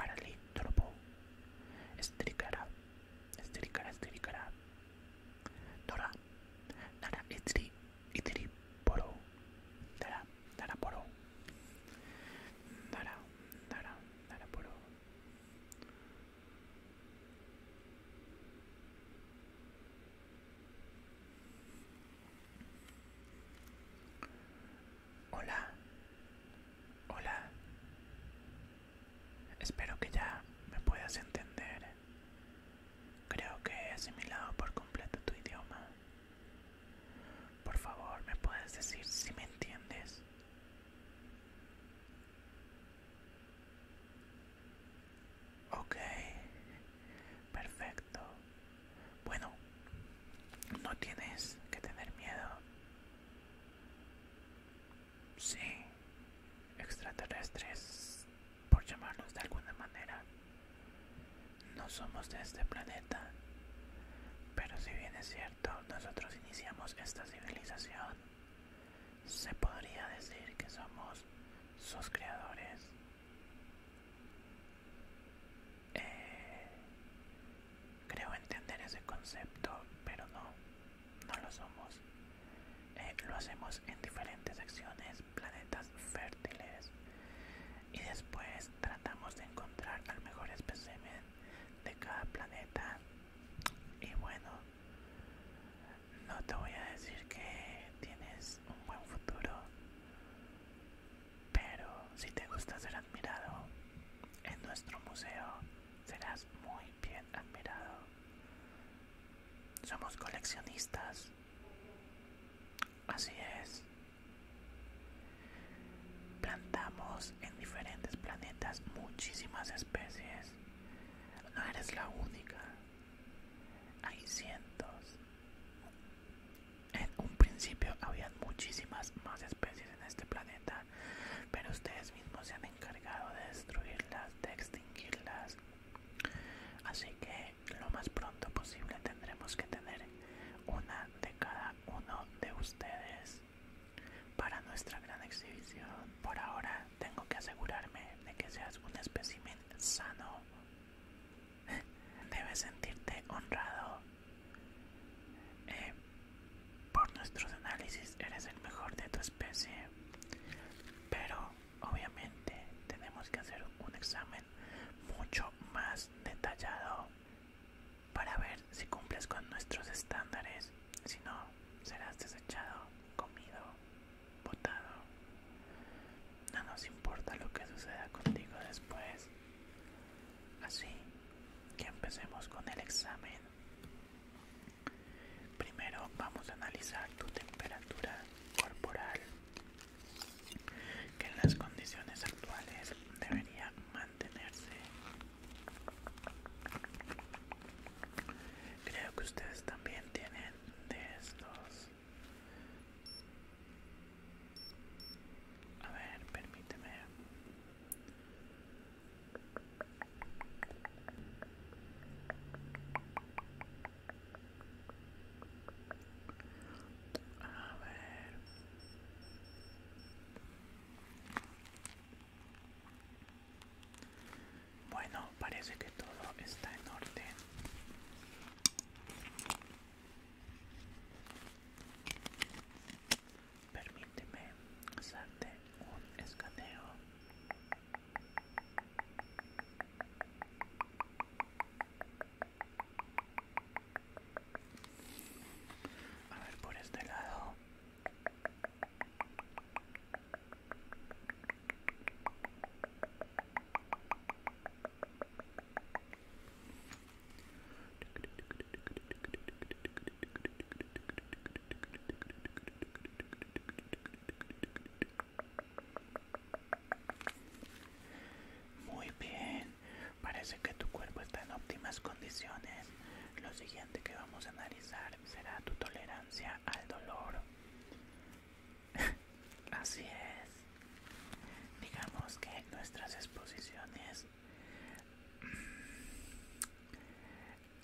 Parali, doropo, estirikara, estirikara, estirikara Dora, dara, itri, itri, poro, dara, dara, poro Dara, dara, dara, poro Hola. Hola. Espero que ya me puedas entender. Creo que he asimilado por completo tu idioma. Por favor, ¿me puedes decir si me entiendes? Ok, Perfecto. Bueno, no tienes que tener miedo. Sí, extraterrestres, por llamarlos de alguna manera. No somos de este planeta. Pero si bien es cierto, nosotros iniciamos esta civilización. Se podría decir que somos sus creadores. Eh, creo entender ese concepto, pero no, no lo somos. Eh, lo hacemos en diferentes secciones planetas fértiles, y después tratamos de encontrar al mejor espécimen de cada planeta. Y bueno, no te voy a decir que tienes un buen futuro pero si te gusta ser admirado, en nuestro museo serás muy bien admirado. Somos coleccionistas. Así es. Plantamos en diferentes planetas muchísimas especies. No eres la única. Hay cientos. En un principio había muchísimas más especies en este planeta, pero ustedes mismos se han encargado de destruirlas, de extinguirlas. Así que lo más pronto posible tendremos que tener una de cada uno de ustedes para nuestra gran exhibición. Por ahora tengo que asegurarme de que seas un espécimen sano. Debes sentirte honrado. Eh, por nuestros análisis eres el mejor de tu especie. Pero obviamente tenemos que hacer un examen mucho más detallado para ver si cumples con nuestros estándares. Si no, serás desechado, comido votado. No nos importa lo que suceda contigo después. Así que empecemos con el examen. Primero vamos a analizar tu temperatura corporal, que en las condiciones actuales debería mantenerse. Creo que ustedes también tienen de estos a ver, permíteme. A ver. Bueno, parece que todo está en orden. Permíteme hacerte un escaneo. A ver por este lado. Muy bien, parece que tu cuerpo está en óptimas condiciones. Lo siguiente que vamos a analizar será tu tolerancia al dolor. Así es. Digamos que nuestras exposiciones,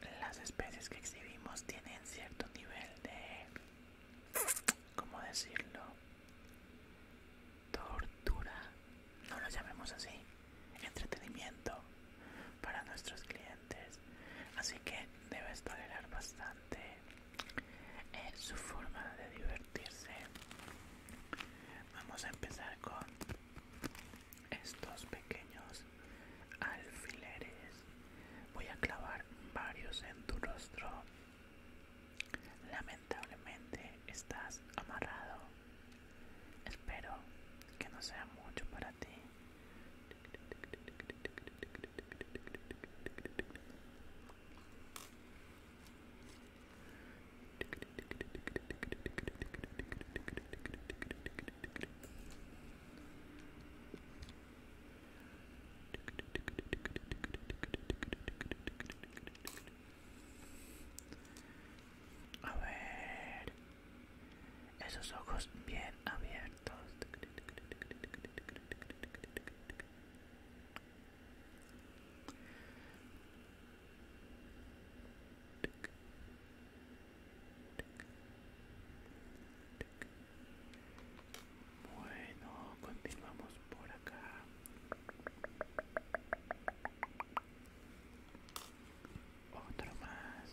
mm, las especies que exhibimos tienen cierto nivel de, ¿cómo decirlo? Tortura. No lo llamemos así. Entretenimiento para nuestros clientes. Así que debes tolerar bastante es su forma de divertirse. Vamos a empezar con estos pequeños alfileres. Voy a clavar varios en tu rostro. Lamentablemente estás amarrado. Espero que no sea mucho para ti. A ver, esos ojos bien abiertos. Bueno, continuamos por acá. Otro más.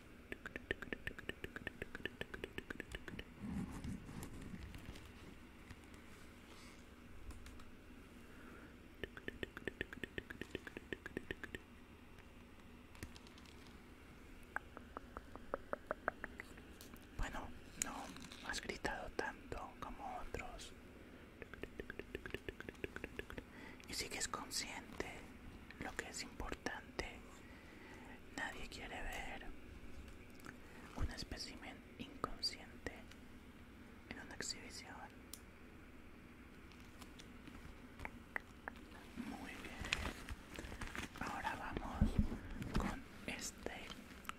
Bueno, no has gritado tanto como otros y sigues consciente lo que es importante Nadie quiere ver un espécimen inconsciente en una exhibición. Muy bien. Ahora vamos con este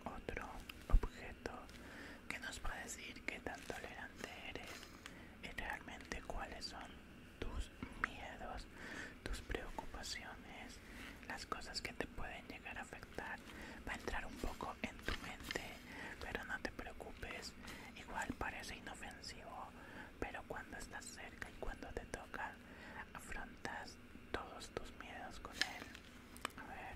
otro objeto que nos puede decir qué tan tolerante eres y realmente cuáles son tus miedos, tus preocupaciones, las cosas que te pueden llegar a afectar. Va a entrar un poco en tu mente, pero no te preocupes. Igual parece inofensivo, pero cuando estás cerca y cuando te toca, afrontas todos tus miedos con él. A ver.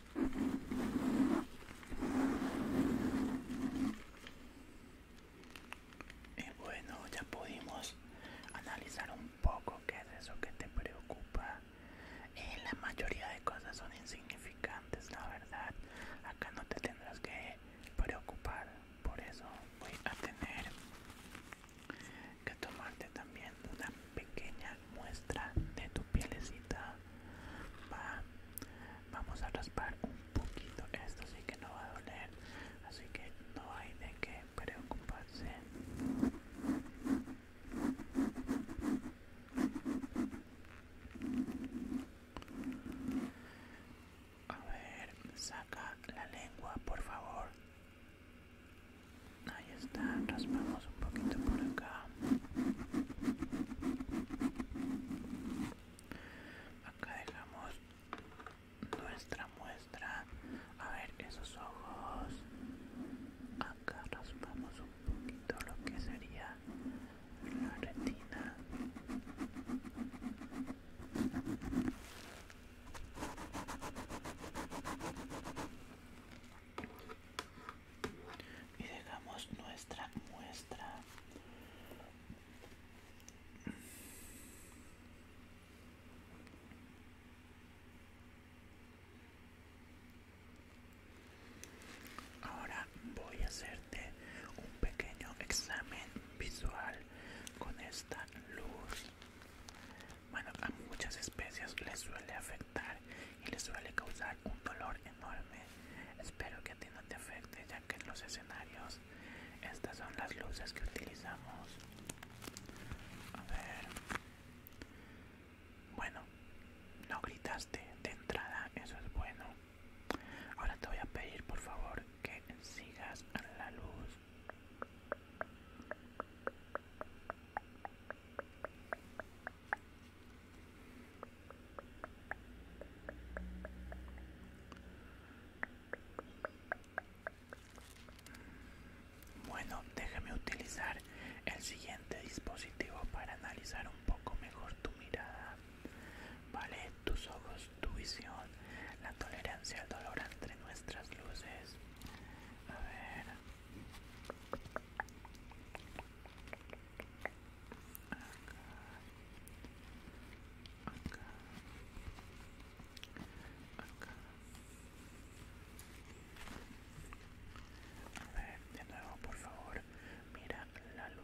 Y bueno, ya pudimos analizar un poco qué es eso que te preocupa. Eh, la mayoría de cosas son insignificantes, la verdad. Acá no te tendrás que preocupar. Por eso voy a tener que tomarte también una pequeña muestra de tu pielecita. Vamos a raspar un poquito. Esto así que no va a doler. Así que no hay de qué preocuparse. A ver, saca la lengua, por favor. Ahí está, raspamos un poquito por acá. Acá dejamos nuestra muestra. A ver, esos ojos. Acá raspamos un poquito lo que sería la retina y dejamos nuestra muestra Ahora voy a hacerte un pequeño examen visual con esta luz. Bueno, a muchas especies les suele afectar y les suele causar un dolor enorme. Espero que a ti no te afecte, ya que en los escenarios estas son las luces que utilizamos. A ver. Bueno, no gritaste de entrada, eso es bueno. Ahora te voy a pedir por favor que sigas a la luz. Bueno, déjame utilizar el siguiente dispositivo para analizar un poco mejor tu mirada, ¿vale? Tus ojos, tu visión, la tolerancia al dolor entre nuestras luces. A ver. A ver, de nuevo, por favor, mira la luz.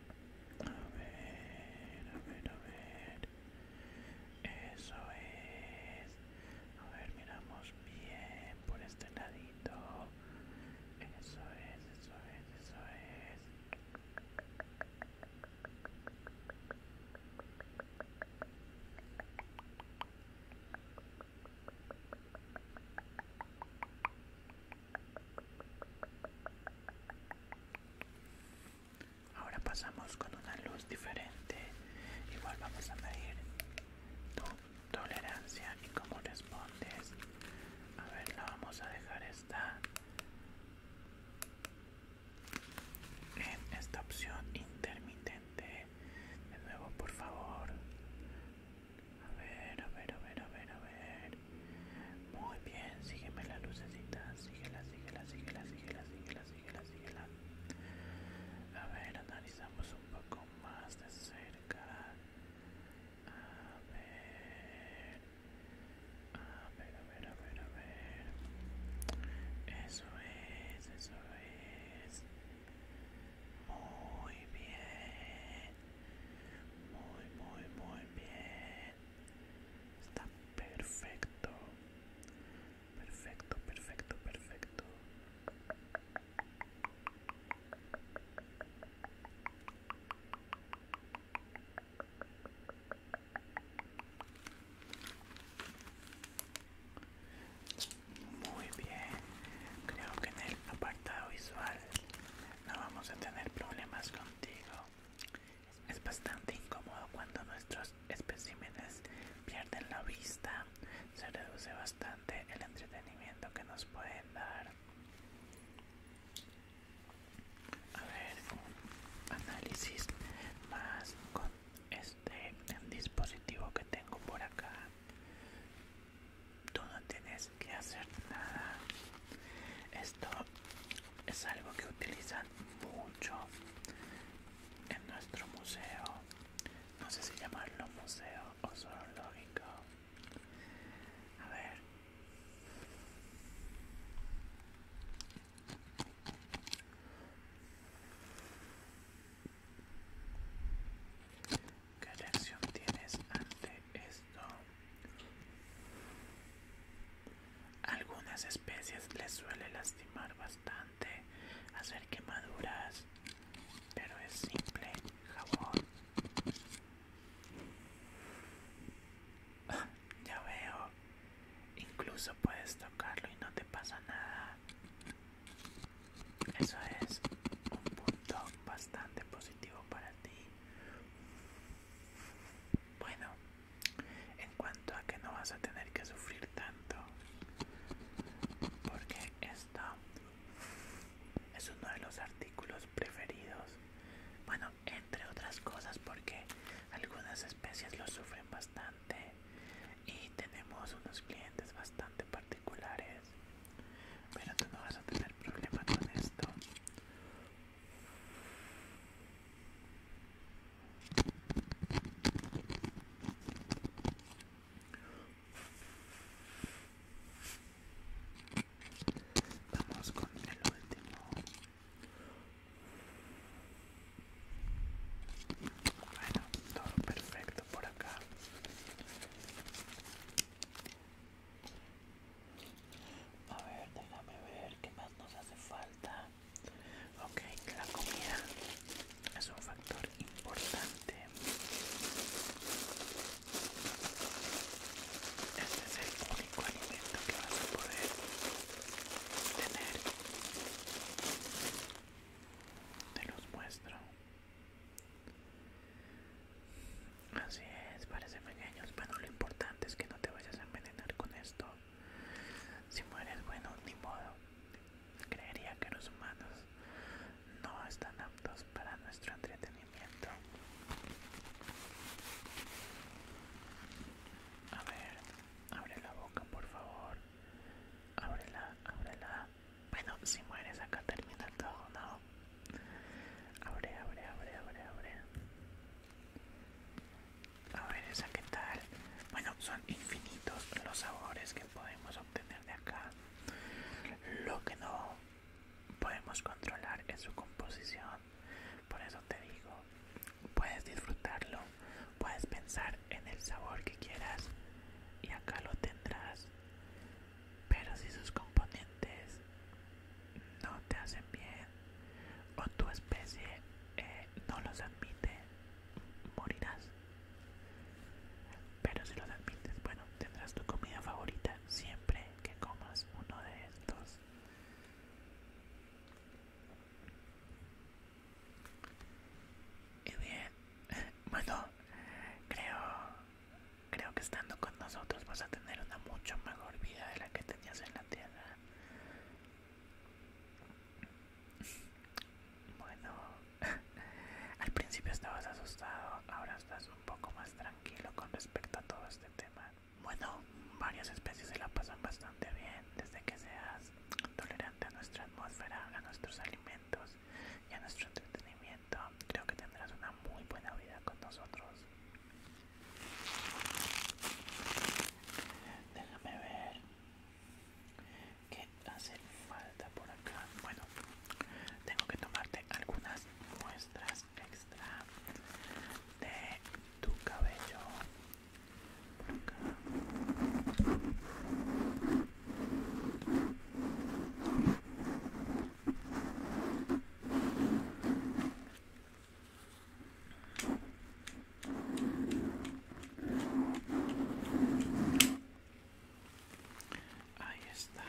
A ver, a ver, a ver. Eso es. A ver, miramos bien por este ladito. Eso es, eso es, eso es. Ahora pasamos con una luz diferente. Igual vamos a medir tu tolerancia y cómo respondes. A ver, la vamos a dejar esta en esta opción intermitente. De nuevo, por favor. A ver, a ver, a ver, a ver, a ver. Muy bien, sígueme la lucecita, síguela, síguela, síguela, síguela, síguela, síguela, síguela. A ver, analizamos un poco más de cerca. A ver, a ver, a ver, a ver, a ver. Eso es, eso es. Muy bien. Muy, muy, muy bien está perfecto perfecto perfecto perfecto muy bien, creo que en el apartado visual no vamos a tener problemas contigo. Es bastante incómodo cuando nuestros especímenes pierden la vista, se reduce bastante el entretenimiento que nos pueden dar. A ver, un análisis más con este dispositivo que tengo por acá. Tú no tienes que hacer nada esto es algo que utilizan mucho en nuestro museo. No sé si llamarlo museo o zoológico. A ver. ¿Qué tienes ante esto. Algunas especies les suele lastimar bastante hacer quemaduras, pero es simple jabón. Ah, ya veo, incluso puedes tocarlo y no te pasa nada. Eso es un punto bastante positivo para ti. Bueno, en cuanto a que no vas a tener que sufrir tanto, porque esto es uno de los artículos preferidos. Bueno, entre otras cosas, porque algunas especies lo sufren bastante y tenemos unos clientes bastante particulares. Pero tú no vas a tener problema con esto Vamos con el último. Bueno, todo perfecto por acá. A ver, déjame ver qué más nos hace falta. Ok, la comida es un factor importante. Este es el único alimento que vas a poder tener. Te los muestro. Así es, parece pequeños, bueno lo importante es que no te vayas a envenenar con esto. Si mueres, bueno, ni modo. Creería que los humanos no están aptos para nuestro entretenimiento. A ver, abre la boca, por favor. Ábrela, ábrela. Bueno, si mueres acá termina todo, ¿no? Abre, abre, abre, abre, abre. A ver esa qué tal. Bueno, son infinitos los sabores que podemos obtener de acá. Lo que no podemos controlar es su composición. Por eso te digo, puedes disfrutarlo, puedes pensar en el sabor que quieras y acá lo tendrás. Pero si sus componentes no te hacen bien o tu especie eh, no los admite, morirás. Pero si los admites, bueno, tendrás tu comida favorita siempre que comas uno de estos. Y bien, bueno, creo Creo que estando con nosotros vas a tener una mucho mejor vida de la que tenías en la tierra. Bueno, al principio estabas asustado, ahora estás un poco más tranquilo con respecto a todo este tema. Bueno, varias especies se la pasan bastante bien desde que seas tolerante a nuestra atmósfera, a nuestros alimentos y a nuestro entretenimiento. Creo que tendrás una muy buena vida con nosotros. Déjame ver qué hace falta por acá. Bueno, tengo que tomarte algunas muestras extra de tu cabello. Por acá. Ahí está,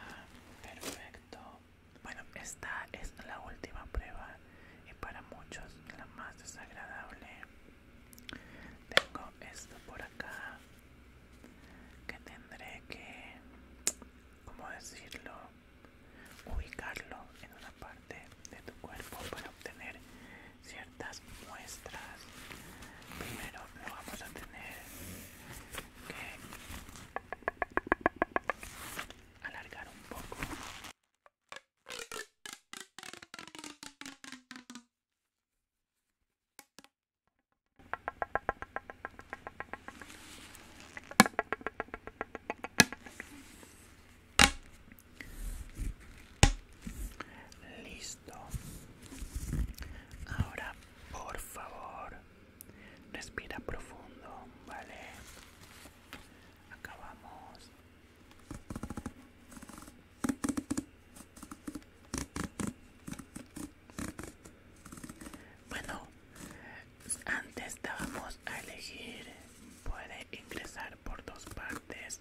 perfecto. Bueno, esta es la última prueba y para muchos la más desagradable. Tengo esto por acá que tendré que ¿cómo decirlo? Ubicarlo en una parte de tu cuerpo para obtener ciertas muestras. Primero lo vamos a tener que alargar un poco. Listo. Ahora, por favor, respira profundo, ¿vale? Acabamos. Bueno, antes estábamos a elegir, puede ingresar por dos partes,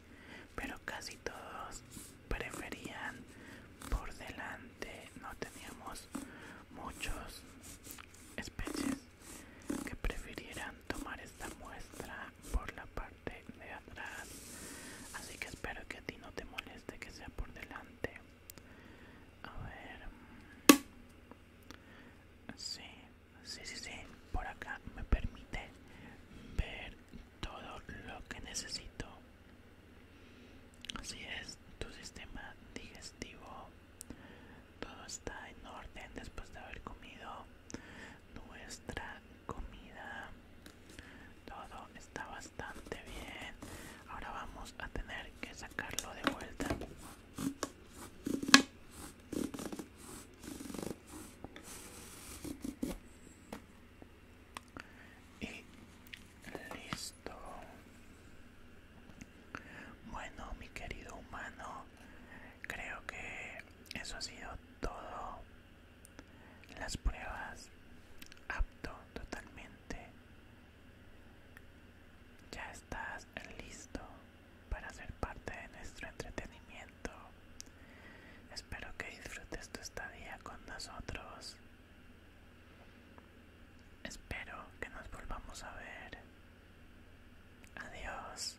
pero casi todos preferían por delante, no teníamos muchos especies que prefirieran tomar esta muestra por la parte de atrás así que espero que a ti no te moleste que sea por delante a ver. Sí, sí, sí, Por acá me permite ver todo lo que necesito. Así es, tu sistema digestivo. Todo está en orden después de haber comido nuestra comida. Todo estaba bastante bien. Ahora vamos a tener que sacarlo de vuelta. Y listo. Bueno, mi querido humano, creo que eso ha sido todo. Las pruebas apto totalmente ya estás listo para ser parte de nuestro entretenimiento. Espero que disfrutes tu estadía con nosotros. Espero que nos volvamos a ver. Adiós.